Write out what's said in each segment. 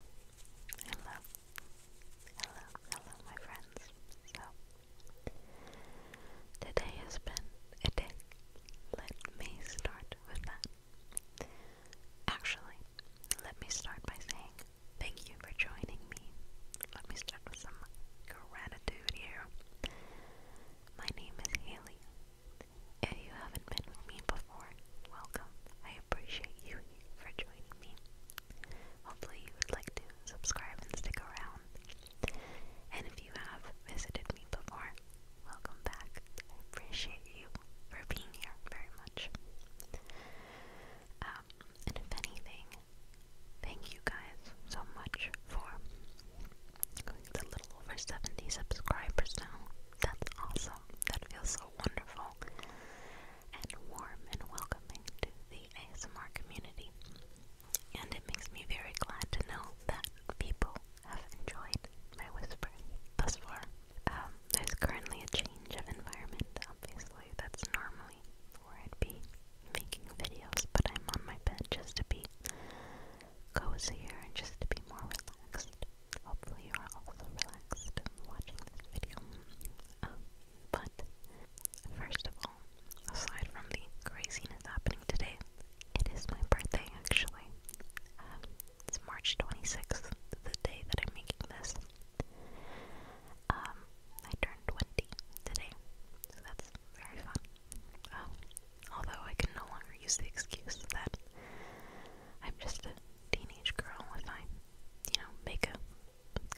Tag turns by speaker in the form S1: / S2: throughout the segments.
S1: Hello, hello, hello, my friends. So, today has been a day. Let me start with that. Actually, let me start by saying thank you for joining me. Let me start with some gratitude here. My name is Haley. If you haven't been with me before, welcome appreciate you for joining me. Hopefully, you would like to subscribe and stick around. And if you have visited me before, welcome back. I appreciate you for being here very much. Um, and if anything, thank you guys so much for going to a little over 70 subscribers now. That's awesome. That feels so wonderful and warm and welcoming to the ASMR community. And it makes me very glad to know that people have enjoyed my whispering thus far. Um, there's currently a change of environment, obviously, that's normally where I'd be making videos, but I'm on my bed just to be cozier and just to be more relaxed. Hopefully you are also relaxed watching this video. Um, but first of all, aside from the craziness happening today, it is my birthday actually. Um, it's March 26th, the day that I'm making this. Um, I turned 20 today, so that's very fun. Um, although I can no longer use the excuse that I'm just a teenage girl if I, you know, make a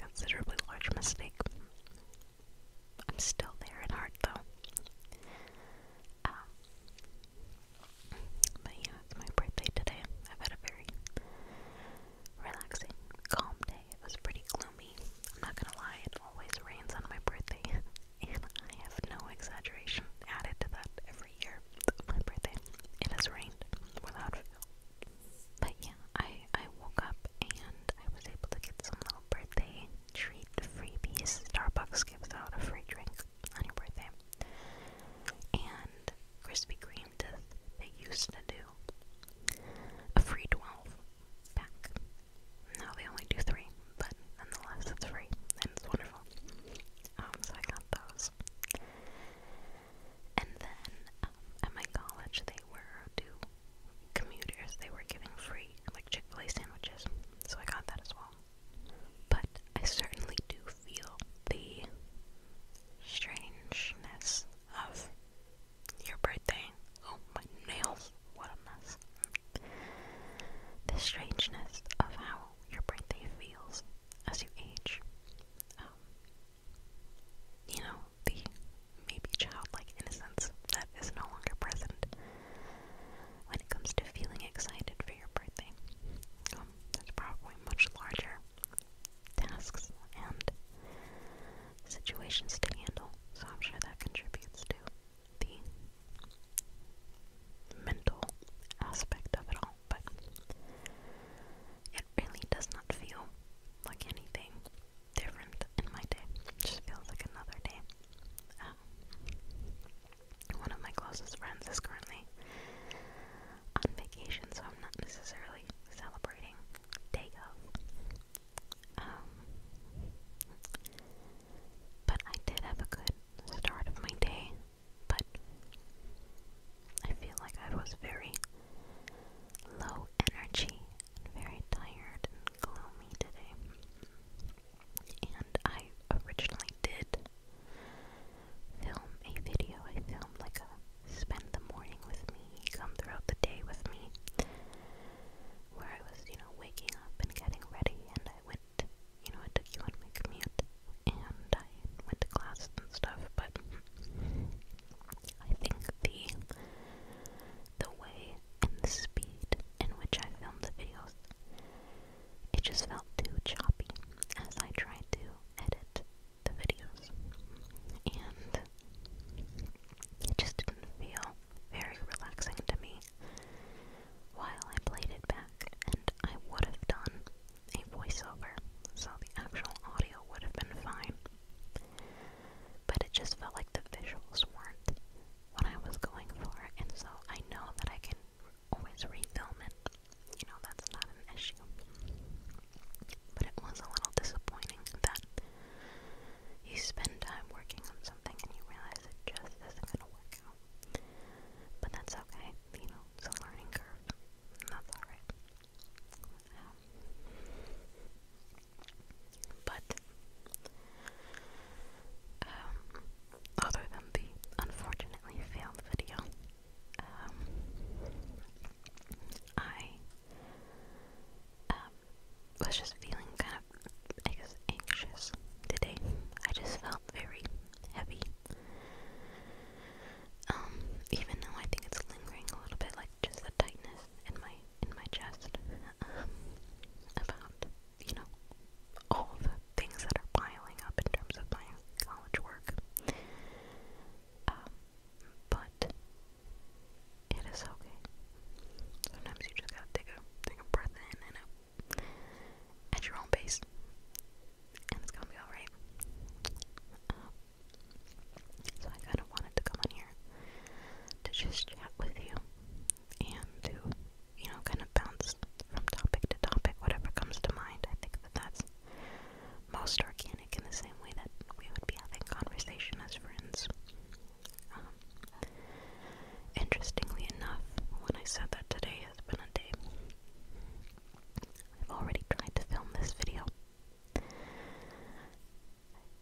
S1: considerably large mistake. I'm still there at heart, though. Um, but yeah, it's my birthday today. I've had a very relaxing, calm day. It was pretty gloomy. I'm not gonna lie, it always rains on my birthday, and I have no exaggeration added to that. Every every my birthday. It has rained without fail. But yeah, I, I woke up and I was able to get some little birthday treat freebies. Starbucks gives out a free drink on your birthday. And Krispy Kreme does, they used to do a free 12 pack. Now they only do three, but nonetheless, it's free and it's wonderful. Um, so I got those. And then um, at my college, they were to commuters, they were giving free like Chick fil A sandwiches, so I got that as well. But I certainly do feel the strangeness of your birthday. Oh, my nails, what a mess. The strangeness of how your birthday feels as you age. Um, you know, the maybe childlike innocence that is no longer present when it comes to feeling excited for your birthday. Um, there's probably much larger tasks and situations to handle, so I'm sure that contributes to the mental aspect of it all but it really does not feel like anything different in my day. just feels like another day. Um, one of my closest friends is currently on vacation, so I'm not necessarily celebrating day of. Um, but I did have a good start of my day but I feel like I was very low energy and very tired and gloomy today. And I originally did film a video. I filmed like a spend the morning with me, come throughout the day with me, where I was, you know, waking up and getting ready, and I went, you know, I took you on my commute and I went to class and stuff, but I think the the way and the speed in which I filmed the videos, it just felt too choppy as I tried to edit the videos. And it just didn't feel very relaxing to me. While I played it back, and I would have done a voiceover, so the actual audio would have been fine. But it just felt like the visuals weren't what I was going for, and so I know that I can always refilm it. You know, that's not an issue. But it was a little disappointing that you spend time working on something and you realize it just isn't going to work out. But that's okay, you know, it's a learning curve. That's alright. Um, but um, other than the unfortunately failed video, um, I was just feeling kind of, anxious today. I just felt very heavy. Um, even though I think it's lingering a little bit, like just the tightness in my in my chest. Um, about you know all the things that are piling up in terms of my college work. Um, but it is okay. Sometimes you just gotta take a take a breath in and out at your own pace and it's gonna be alright. Uh, so I kind of wanted to come on here to just chat with you and to, you know, kind of bounce from topic to topic, whatever comes to mind. I think that that's most organic in the same way that we would be having conversation as friends. Um, interestingly enough, when I said that today has been a day I've already tried to film this video.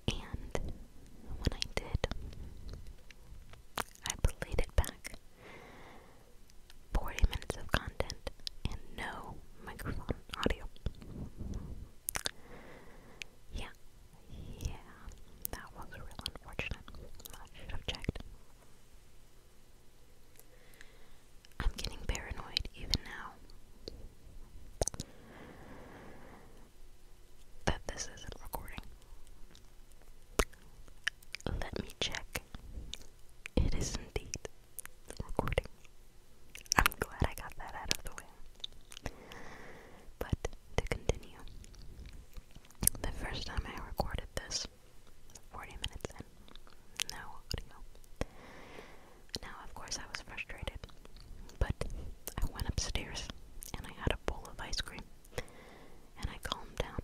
S1: And when I did, I played back. 40 minutes of content and no microphone audio. Yeah, yeah, that was real unfortunate. I should have checked. I'm getting paranoid even now that this isn't recording. Let me check. It is indeed recording. I'm glad I got that out of the way. But to continue, the first time I recorded this, 40 minutes in. No audio. Now, of course, I was frustrated, but I went upstairs and I had a bowl of ice cream and I calmed down.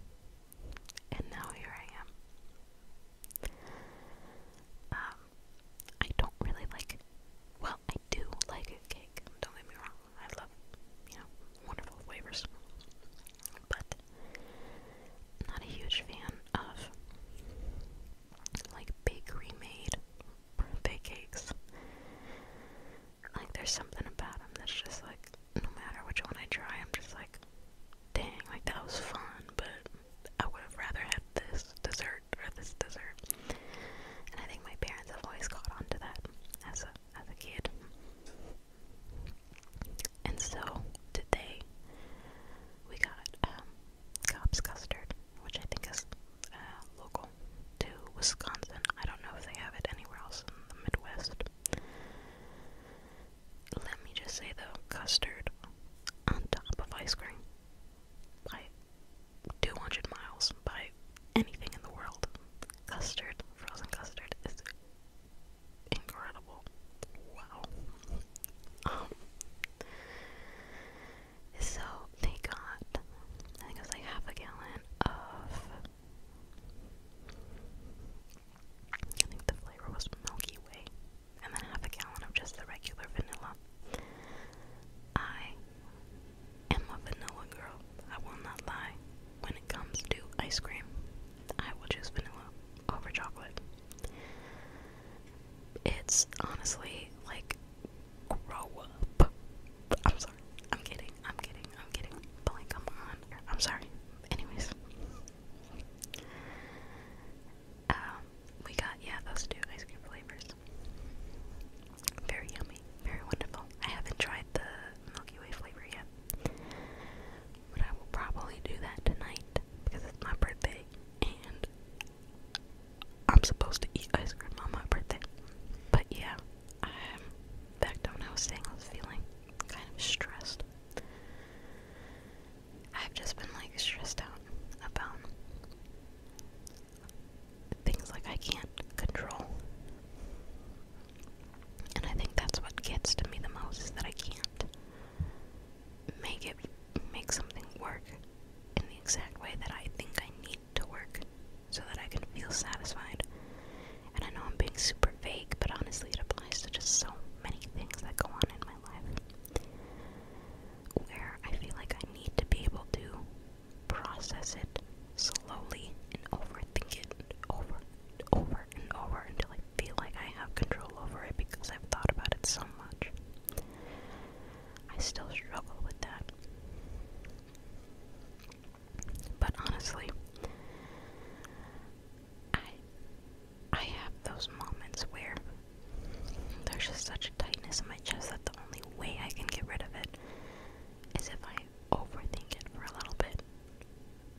S1: And now here I am. Um, I don't really like, well, I do like a cake, don't get me wrong. I love, you know, wonderful flavors. But not a huge fan of like bakery made birthday cakes. Like there's something about them that's just like no matter which one I try, I'm just like, dang, like that was fun, but I would have rather had this dessert or this dessert. And I think my parents have always caught on to that as a as a kid. And so did they. We got um, Cobb's custard, which I think is uh, local to Wisconsin. I don't know if they have it anywhere else in the Midwest. Let me just say though, custard on top of ice cream by 200 miles by anything in the world. Custard, frozen custard, is incredible. Wow. Um, so they got, I think it was like half a gallon of, I think the flavor was Milky Way, and then half a gallon of just the regular vanilla. I am a vanilla girl, I will not lie. When it comes to ice cream, I will choose vanilla over chocolate. It's honestly like grow up. I'm sorry. I'm kidding. I'm kidding. I'm kidding. But like, come on. I'm sorry. Anyways. Um, we got, yeah, those two ice cream flavors. Very yummy. Very wonderful. I haven't tried the Milky Way flavor yet but I will probably do that tonight because it's my birthday and I'm supposed to eat ice cream on my birthday. But yeah, I'm back to when I was saying I was feeling kind of stressed. I've just been like stressed out about things like I can't control. And I think that's what gets to me the most is that I can't make it make something work in the exact way that I think I need to work so that I can feel satisfied. And I know I'm being super vague, but honestly, it applies to just so many things that go on in my life where I feel like I need to be able to process it slowly and overthink it over and over and over until I feel like I have control over it because I've thought about it so much. I still struggle with that. But honestly, I I have those moments where there's just such tightness in my chest that the only way I can get rid of it is if I overthink it for a little bit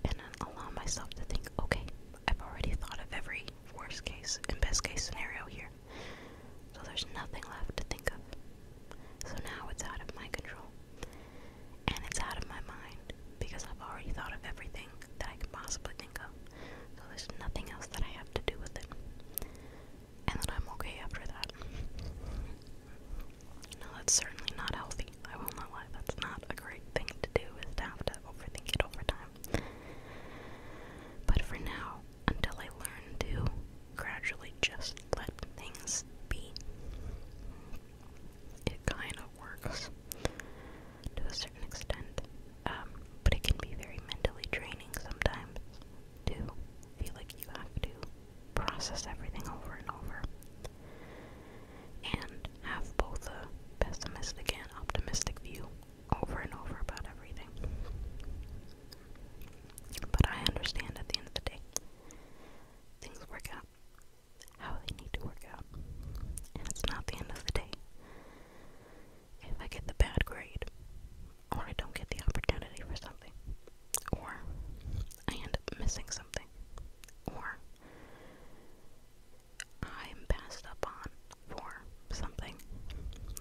S1: and then allow myself to think, okay, I've already thought of every worst case and best case scenario here. So there's nothing left to think of. So now it's out of my control. And it's out of my mind because I've already thought of everything that I can possibly think of. So there's nothing else that I have to do with it. And then I'm okay after that. No, that's certainly not healthy. I will not lie. That's not a great thing to do is to have to overthink it over time. But for now, until I learn to gradually just let things be, it kind of works to a certain extent. Um, but it can be very mentally draining sometimes to feel like you have to process everything over and over have both a pessimistic and optimistic view over and over about everything. But I understand at the end of the day, things work out how they need to work out. And it's not the end of the day. If I get the bad grade, or I don't get the opportunity for something, or I end up missing something, or I'm passed up on for something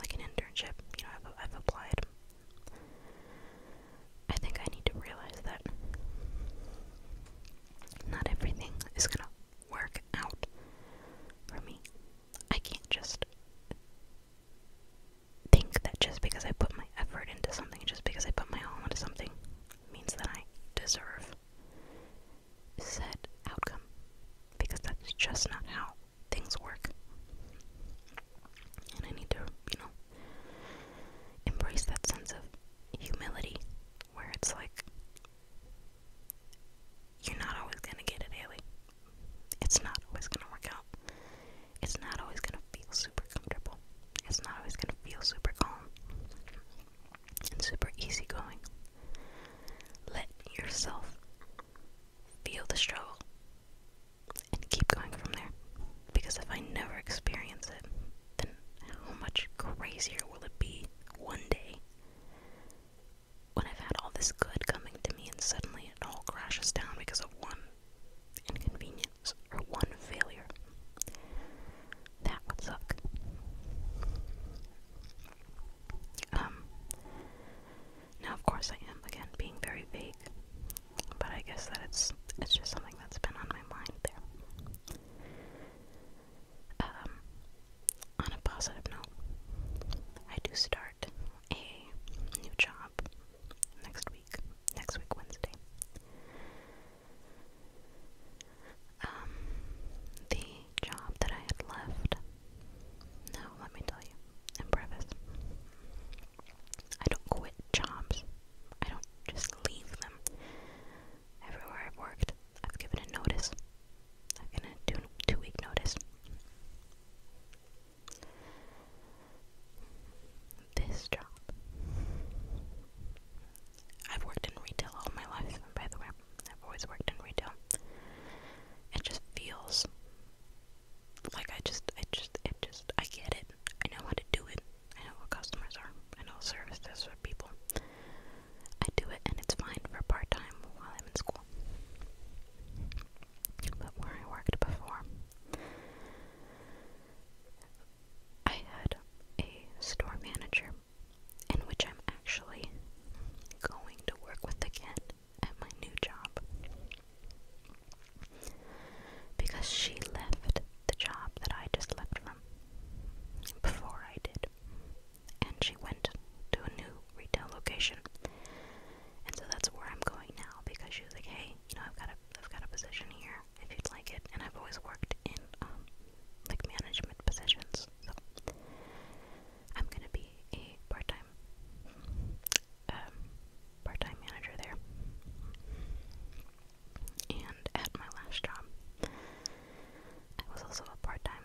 S1: like an internship. You know, I've, I've applied. I think I need to realize that not everything is gonna work out for me. I can't just think that just because I put my effort into something, just because I put my all into something, means that I deserve said outcome because that's just not how things work. And I need to, you know, embrace that sense of humility where it's like you're not always going to get it, Haley. It's not always going to work out. It's not always going to feel super comfortable. It's not always going to feel super calm and super easygoing. Let yourself feel the struggle and keep going from there. Because if I never experience it, then how much crazier will it be one day when I've had all this good coming to me and suddenly it all crashes down because of one inconvenience or one failure? That would suck. Um, now, of course, I am again being very vague, but I guess that it's it's just something that's been on my mind there. Um, on a positive note, I do start a new job next week, next week Wednesday. Um, the job that I had left. No, let me tell you, in preface, I don't quit jobs. I don't just leave them. Everywhere I've worked, I've given a notice. I've given a two, two week notice. This job I've worked in retail all my life, by the way. I've always worked in retail. It just feels like I just, I just, I just, I get it. I know how to do it. I know what customers are. I know services for people. I do it, and it's fine for part time while I'm in school. But where I worked before, I had a store manager in which I'm actually going to work with again at my new job. Because she left the job that I just left from before I did. And she went to a new retail location. And so that's where I'm going now because she was like, Hey, you know, I've got a I've got a position here if you'd like it and I've always worked in um, like management positions, I'm gonna be a part-time um, part-time manager there. And at my last job, I was also a part-time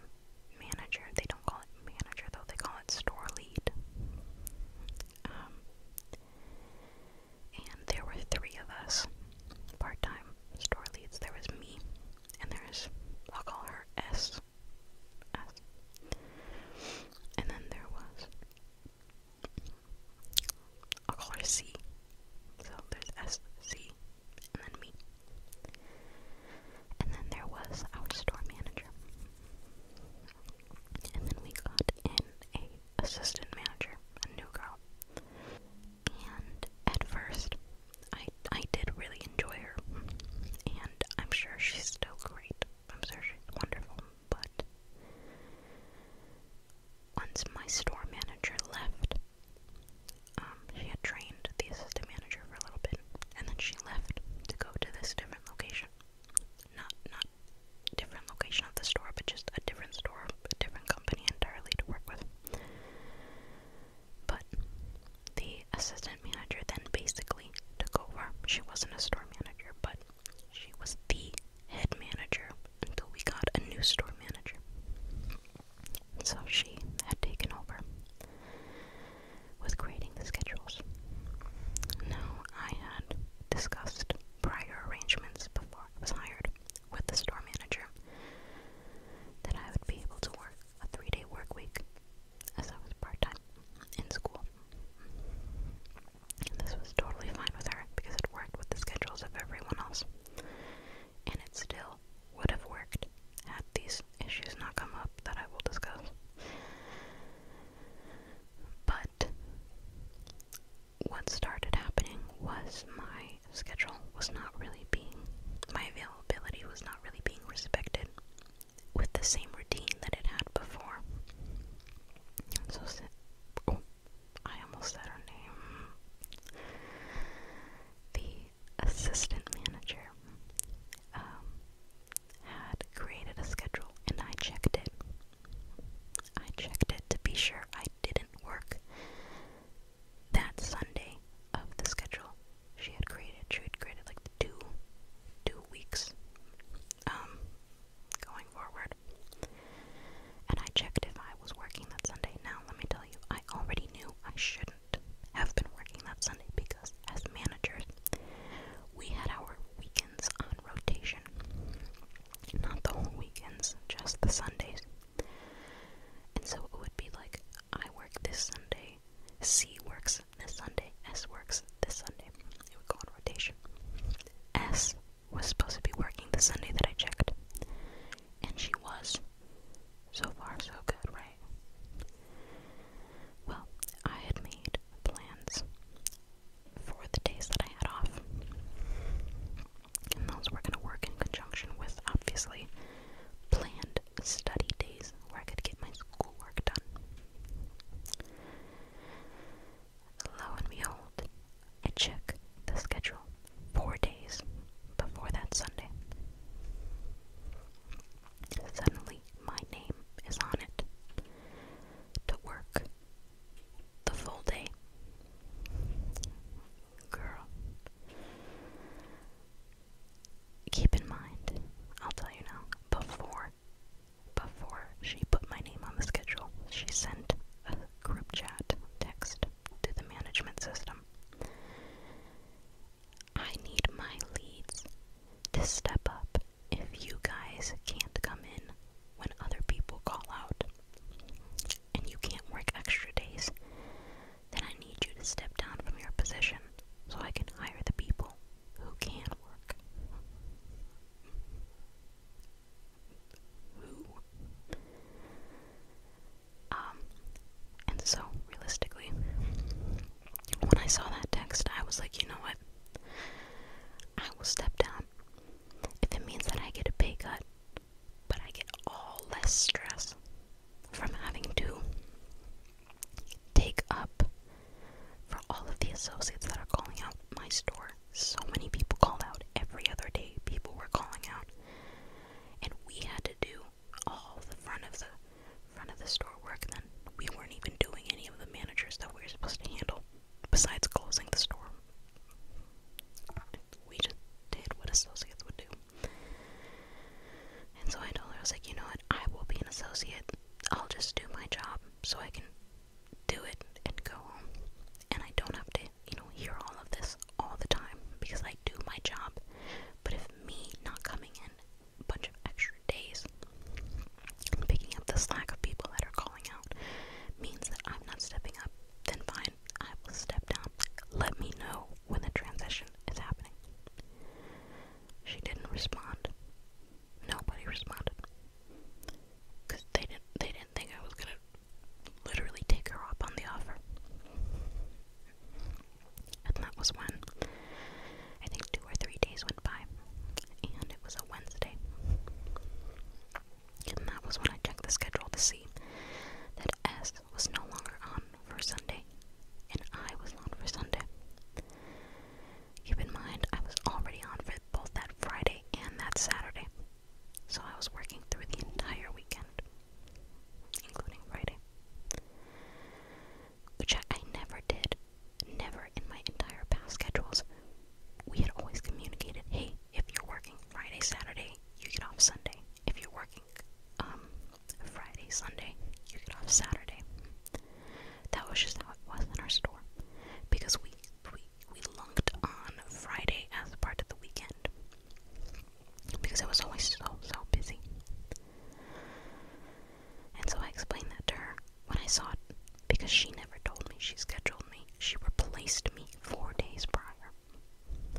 S1: manager. They don't call it manager though; they call it store lead. Um, and there were three of us part-time store leads. There was me, and there's I'll call her S. S. And then there was I'll call her C. So there's S, C, and then me. And then there was our store manager. And then we got an assistant manager, a new girl and at first I I did really enjoy her and I'm sure she's still great. I'm sure she's wonderful, but once my store manager left, um, she had trained the assistant manager for a little bit, and then she left to go to this different location. Not not different location of the store, but just a different store, a different company entirely to work with. But the assistant manager then basically took over. She wasn't a store manager, but she was the head manager until we got a new store manager. So she had taken over with creating the schedules. Now, I had discussed prior arrangements before I was hired with the store manager that I would be able to work a three day work week as I was part time in school. And this was totally fine with her because it worked with the schedules of everyone else. And it still would have worked had these issues not come up that I will discuss. But what started happening was my schedule was not really being, my availability was not really being respected with the same routine that it had before. So, oh, I almost said her name. The assistant manager um, had created a schedule and I checked it. I checked it to be sure I didn't work that Sunday of the schedule she had created. She had created like two two weeks um going forward. And I checked if I was working that Sunday. Now let me tell you, I already knew I shouldn't have been working that Sunday because as managers we had our weekends on rotation. Not the whole weekends, just the Sundays. And so it would be like I work this Sunday, C works this Sunday, S works this Sunday. It would go on rotation. S was supposed to be working the Sunday that I checked, and she was. So far, so good, right? Well, I had made plans for the days that I had off, and those were going to work in conjunction with, obviously, planned study days where I could get my schoolwork done. Lo and behold, I check the schedule four days before that Sunday. Suddenly, my name is on it to work the full day. Girl, keep in mind, I'll tell you now, before before she put my name on the schedule, she sent a group chat text to the management system. I need my leads to step up if you guys can't come in when other people call out and you can't work extra days then I need you to step down from your position so I can hire the people who can work. Who? Um, and so, realistically, when I saw that text, I was like, you know what? I will step down. If it means that I get a pay cut, but I get all less stress from having to take up for all of the associates that are calling out my store. So many people called out every other day, people were calling out, and we had to do all the front of the front of the store work then. We weren't even doing any of the managers that we were supposed to handle besides closing the store we just did what associates would do. And so I told her, I was like, you know what, I will be an associate. I'll just do my job so I can do it and go home. And I don't have to, you know, hear all of this all the time because I do my job. But if me not coming in a bunch of extra days picking up the slack of people that are calling out means that I'm not stepping up, then fine, I will step down. Let me know when the transition is happening. She didn't respond. Nobody responded. Cause they didn't they didn't think I was gonna literally take her up on the offer. And that was when I think two or three days went by. And it was a Wednesday. And that was when I checked the schedule to see that S service was no longer on for Sunday, and I was on for Sunday. Keep in mind, I was already on for both that Friday and that Saturday, so I was working through the entire weekend, including Friday, which I never did, never in my entire past schedules. We had always communicated hey, if you're working Friday, Saturday, you get off Sunday if you're working um, Friday, Sunday, you get off Saturday. That was just how it was in our store because we we we lunked on Friday as part of the weekend because it was always so so busy. And so I explained that to her when I saw it because she never told me she scheduled me. She replaced me four days prior.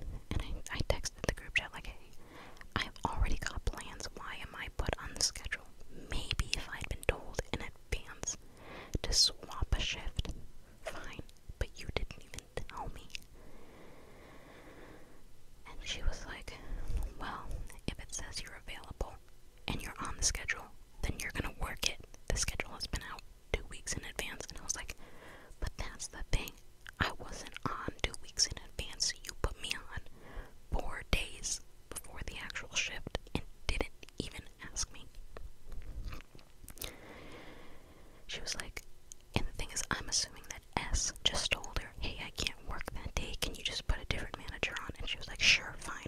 S1: And I texted the group chat like, hey, I've already got plans. Why am I put on the schedule? Maybe if I'd been told in advance to swap a shift, fine. But you didn't even tell me. And she was like, well, if it says you're available and you're on the schedule, then you're gonna work it. The schedule has been out two weeks in advance. And I was like, but that's the thing. I wasn't on two weeks in advance. You put me on four days before the actual shift and didn't even ask me. She was like, and the thing is, I'm assuming that S just told her, hey, I can't work that day. Can you just put a different manager on? And she was like, sure, fine.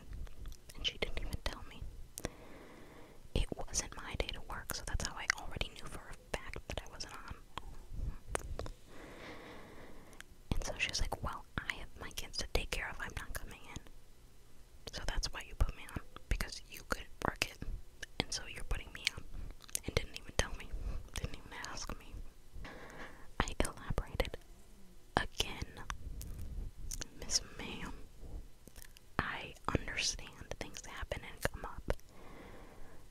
S1: And she didn't even tell me. It wasn't my day to work, so that's how I already knew for a fact fact that I wasn't on. And so she like, Well, I have my kids to take care of, I'm not coming in. So that's why you put me on, because you couldn't work it. And so you're putting me on. And didn't even tell me, didn't even ask me. I elaborated again. Miss Ma'am, I understand things happen and come up.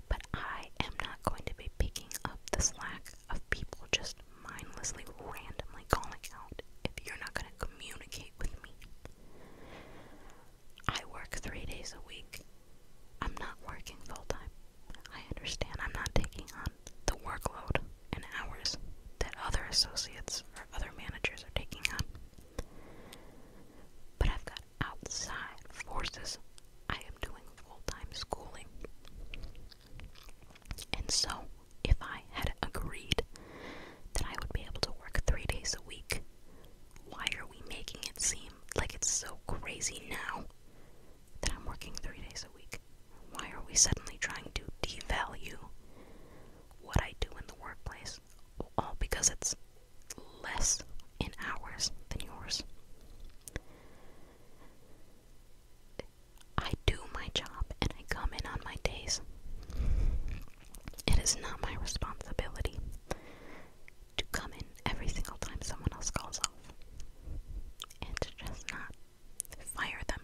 S1: But I am not going to be picking up the slack of people just mindlessly, randomly calling out if you're not going to communicate with me. I work three days a week. I'm not working full time. I understand I'm not taking on the workload and hours that other associates or other managers are taking on. But I've got outside forces I am doing full time schooling. And so, if I had agreed that I would be able to work three days a week, why are we making it seem like it's so crazy now that I'm working three days a week? Why are we suddenly trying to devalue what I do in the workplace? All because it's less in hours than yours. I do my job and I come in on my days. It is not my responsibility to come in every single time someone else calls off and just not fire them.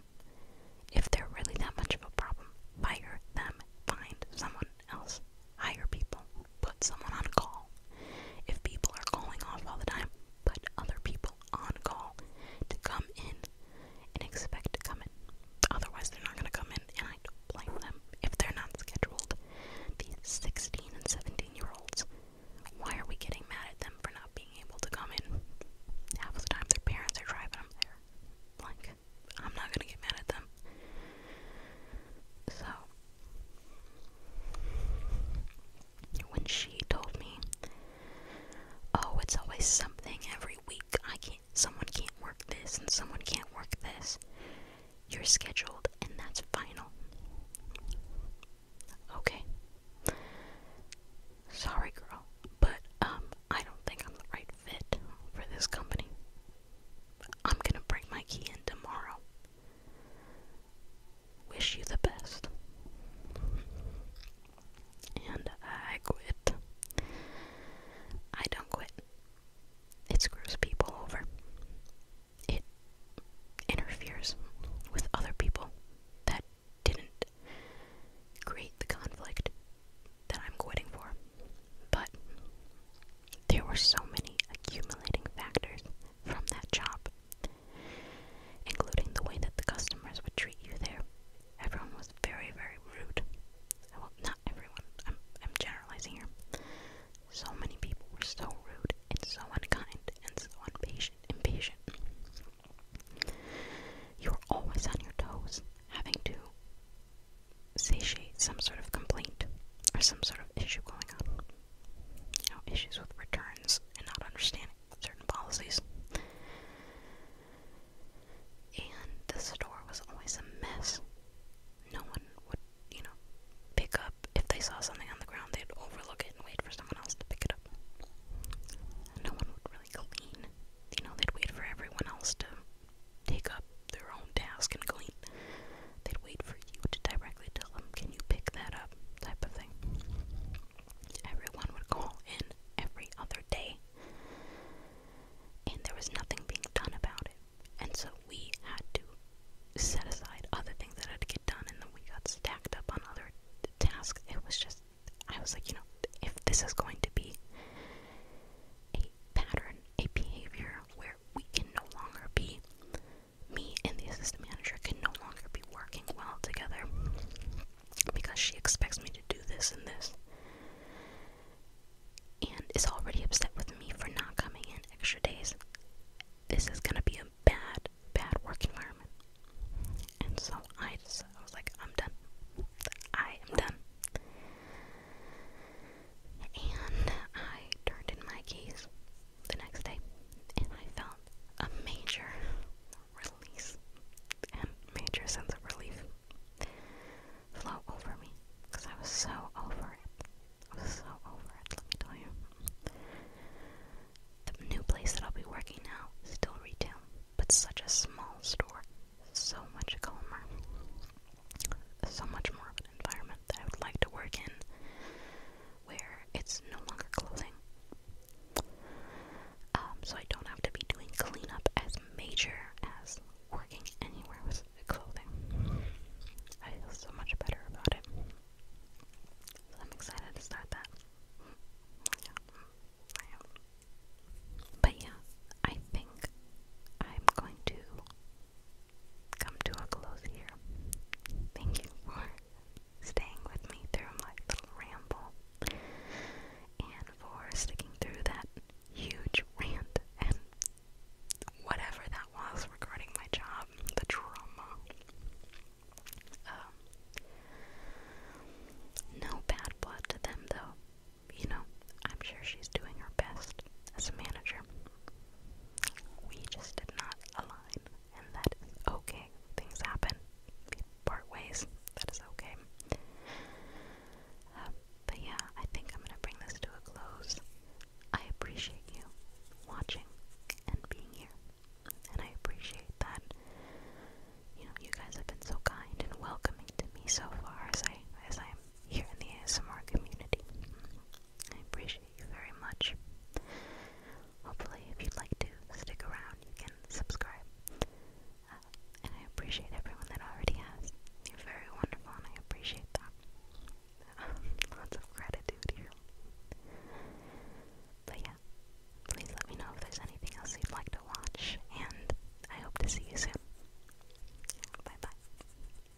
S1: If they're really that much of a problem, fire them. Find someone else. Hire people. Put someone on call. If people are calling off all the time, put other people on call to come in and expect to come in. Otherwise, they're not going to come in, and I don't blame them if they're not scheduled. These 16 and 17 year olds, why are we getting mad at them for not being able to come in? Half of the time, their parents are driving them there. Like, I'm not going to get mad at them. So, when she told me, "Oh, it's always something every week. I can't. Someone can't work this, and someone can't work this. You're scheduled, and that's final." Okay. Sorry, girl, but um, I don't think I'm the right fit for this company. I'm gonna break my key in tomorrow wish you the best. And I quit. I don't quit. It screws people over. It interferes with other people that didn't create the conflict that I'm quitting for. But there were so many accumulating factors from that job, including the way that the customers would treat you there. Everyone was very, very rude. Well, not everyone, I'm, I'm generalizing here. So many people were so rude and so unkind and so impatient, impatient. You are always on your toes, having to satiate some sort of complaint or some sort of issue going on. You know, issues with returns and not understanding certain policies. And the store was always a mess. No one would, you know, pick up if they saw something on the ground, they'd overlook it and wait for someone else to pick it up. No one would really clean. You know, they'd wait for everyone else to take up their own task and clean. They'd wait for you to directly tell them, Can you pick that up? type of thing. Everyone would call in every other day, and there was nothing being done about it. And so we had to set aside other things that had to get done, and then we got stacked up on other tasks. It was just, I was like, you know, if this is going to be a pattern, a behavior, where we can no longer be, me and the assistant manager can no longer be working well together because she expects me to do this and this and is already upset with me for not coming in extra days. This is gonna be a bad, bad work environment. And so I just, I was like, I'm done. I am done. And I turned in my keys the next day, and I felt a major release and major sense of relief flow over me because I was so over it. I was so over it, let me tell you. The new place that I'll be working now, still retail, but such a small store, so much calmer so much more of an environment that I would like to work in where it's no longer clothing. Um, so I don't have to be doing cleanup as major as working anywhere with clothing. I feel so much better about it. So I'm excited to start that. But yeah, I think I'm going to come to a close here. Thank you for staying with me through my little ramble and for sticking through that huge rant and whatever that was regarding my job, the drama. Um, no bad blood to them, though. You know, I'm sure she's doing her best as a manager we just did not align, and that is okay. Things happen, we part ways. That is okay. Uh, but yeah, I think I'm gonna bring this to a close. I appreciate you watching and being here, and I appreciate that you know you guys have been so kind and welcoming to me so far as I as I'm here in the ASMR community. I appreciate you very much. Hopefully, if you'd like to stick around, you can subscribe. Uh, and I appreciate everyone that already has. You're very wonderful, and I appreciate that. lots of gratitude here. But yeah, please let me know if there's anything else you'd like to watch, and I hope to see you soon. Bye bye.